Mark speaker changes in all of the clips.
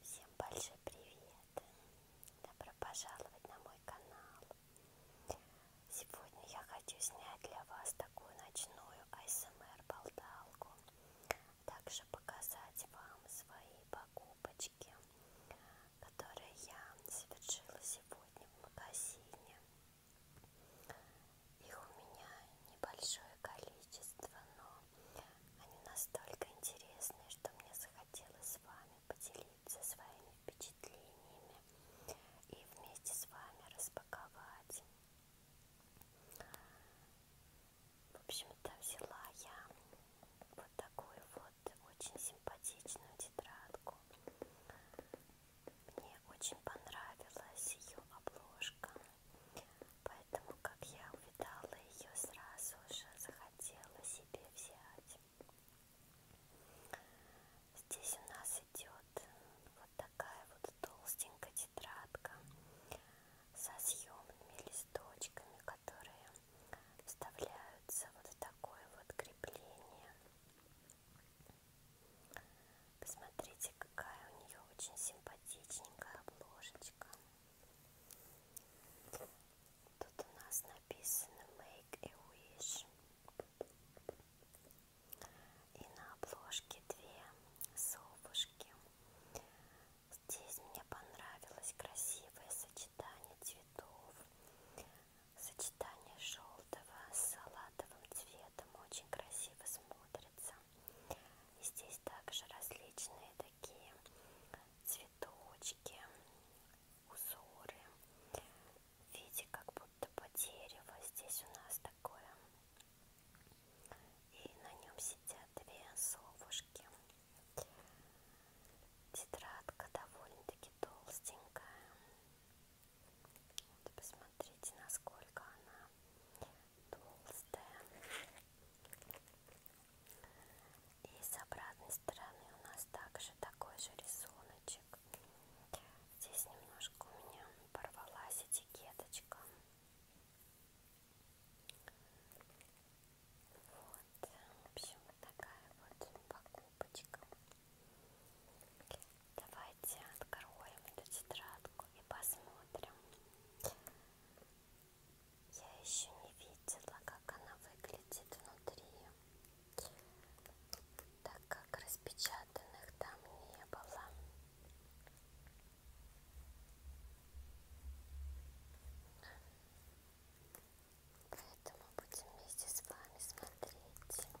Speaker 1: Всем большой привет! Добро пожаловать на мой канал! Сегодня я хочу снять для вас такую ночную АСМР-болталку, эм также показать вам свои покупочки которые я совершила сегодня в магазине. Их у меня небольшое количество, но они настолько интересны, что мне захотелось с вами поделиться своими впечатлениями и вместе с вами распаковать. В общем-то взяла я вот такую вот вот очень симпатичную тетрадку. Мне очень понравилась ее обложка, поэтому как я увидала ее сразу же захотела себе взять. Здесь у нас идет вот такая вот толстенькая тетрадка со съемными листочками, которые вставляются вот в такое вот крепление. Посмотрите, какая у нее очень симпатичненькая обложечка. Тут у нас написано Make a Wish. И на обложке две совушки. Здесь мне понравилось красивое сочетание цветов. Сочетание желтого с салатовым цветом очень красиво смотрится. И здесь также различные такие цветочки, узоры в виде как будто по дереву. Здесь у нас такое. И на нем сидят две совушки. Тетрадка довольно-таки толстенькая. Вот посмотрите, насколько она толстая. И с обратной стороны у нас также такой же рисуночек. Здесь немножко у меня порвалась этикеточка. Вот, в общем, вот такая вот покупочка. Давайте откроем эту тетрадку и посмотрим. Я еще не видела, как она выглядит внутри, так как распечатанных там не было. Поэтому будем вместе с вами смотреть. Итак,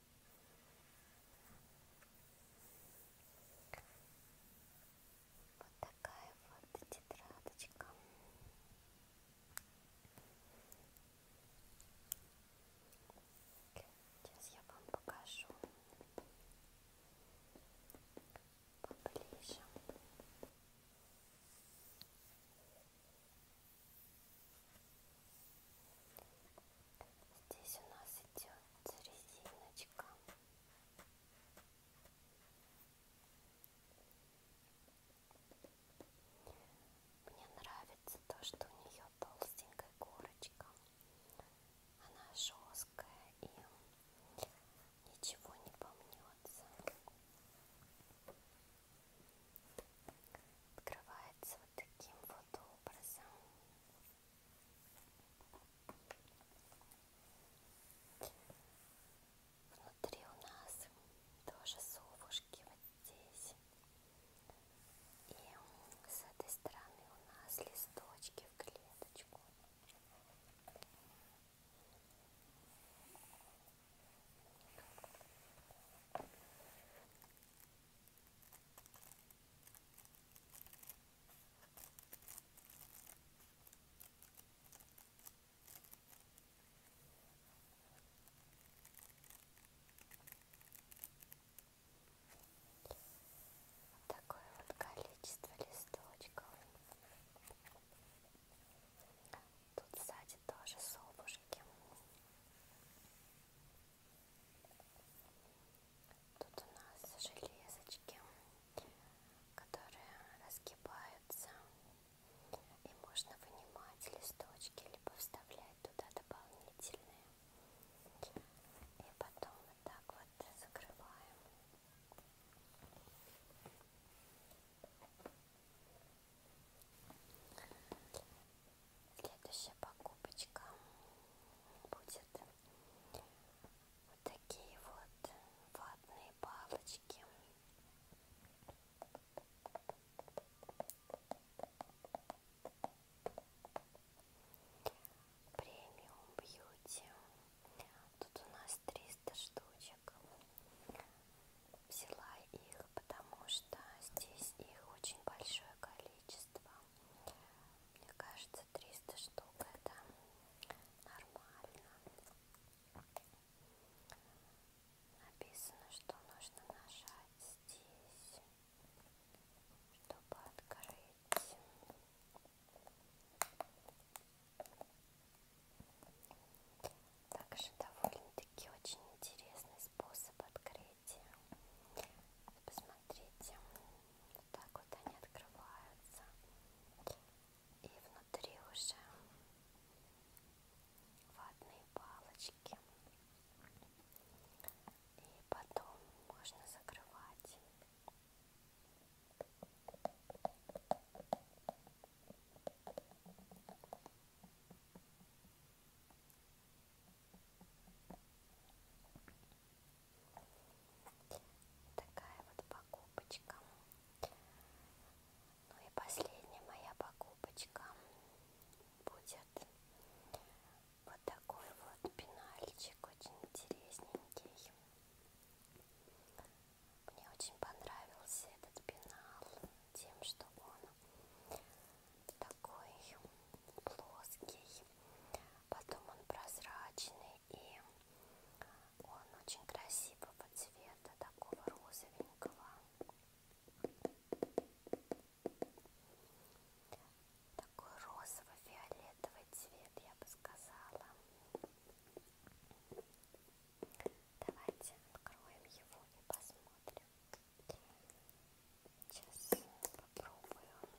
Speaker 1: Вот такая вот тетрадочка. Сейчас я вам покажу поближе. Здесь у нас идет резиночка. Мне нравится то, что у нее толстенькая корочка. Она жесткая и ничего не помнется. Покрывается вот таким вот образом. Внутри у нас тоже совушки вот здесь. И с этой стороны у нас листочки в клеточку. Вот такое вот количество листочков. Тут сзади тоже совушки. Тут у нас железочки, которые разгибаются. И можно вынимать листочки, либо вставлять туда дополнительные. И потом вот так вот закрываем. Следующая покупочка будет вот такие вот ватные палочки. Премиум бьюти. Тут у нас 300 штучек баночек. Взяла их, потому что здесь их очень большое количество. Мне кажется, 300 штук это нормально. Написано, что нужно нажать здесь, чтобы открыть. Также довольно-таки очень интересный способ открытия. Посмотрите, вот так вот они открываются. И внутри уже ватные палочки. И потом можно закрывать. Такая вот покупочка. Ну и последняя моя покупочка будет вот такой вот пенальчик, очень интересненький. Мне очень понравился этот пенал тем, что он такой плоский, потом он прозрачный и он очень красивого цвета, такого розовенького. Такой розово-фиолетовый цвет, я бы сказала. Давайте откроем его и посмотрим. Сейчас попробую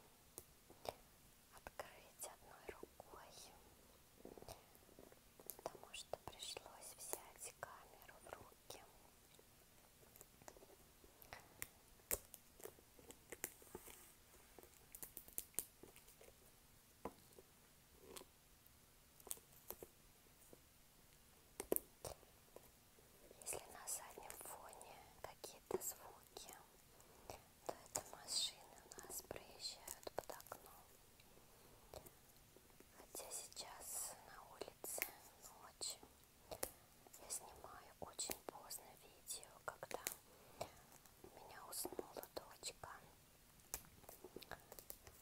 Speaker 1: открыть одной рукой, потому что пришлось взять камеру в руки. Если на заднем фоне какие-то звуки, то это машины у нас проезжают под окном. Хотя сейчас на улице ночью я снимаю очень поздно видео, когда у меня уснула дочка.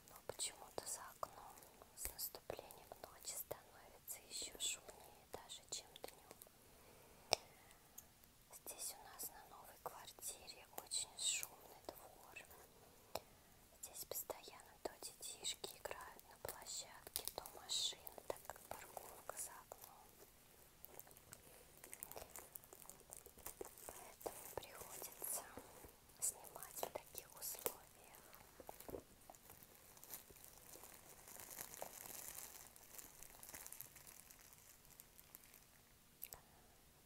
Speaker 1: Но почему-то за окном с наступлением ночи становится еще шумнее даже, чем днем. Здесь у нас на новой квартире очень шумный двор. Здесь постоянно то детишки играют на площадке, то машины, так как парковка за окном. Поэтому приходится снимать в таких условиях.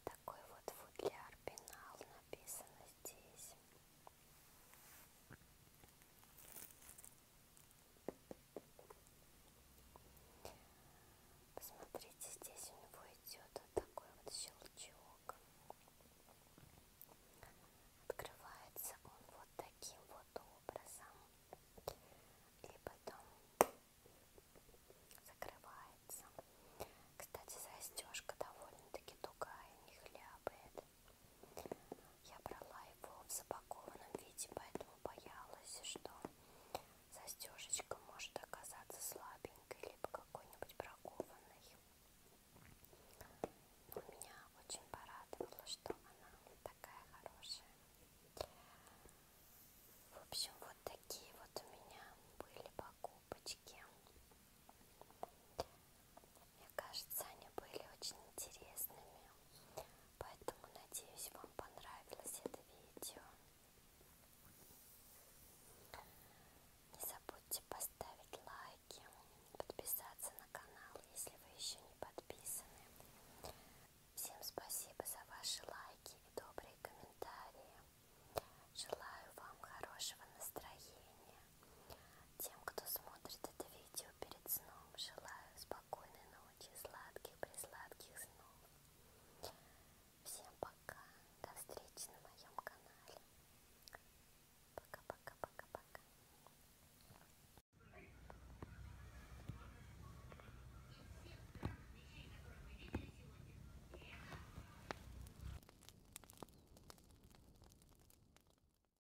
Speaker 1: Такой вот футляр пенал написано здесь. Посмотрите, здесь у него идет вот такой вот щелчок. Открывается он вот таким вот образом. И потом закрывается. Кстати, застежка довольно-таки тугая, не хлябает. Я брала его в запакованном виде, поэтому боялась, что застежечка может оказаться слабенькой, либо какой-нибудь бракованной. Но меня очень порадовало, что она такая хорошая. В общем, вот такие вот у меня были покупочки. Мне кажется, они были очень интересными. Поэтому надеюсь, вам понравилось это видео. Не забудьте поставить лайки, подписаться на канал, если вы еще не подписаны. Всем спасибо за ваши лайки и добрые комментарии. Желаю вам хорошего настроения, тем, кто смотрит это видео перед сном, желаю спокойной ночи, сладких-пресладких снов. Всем пока, до встречи на моем канале. Пока-пока-пока-пока.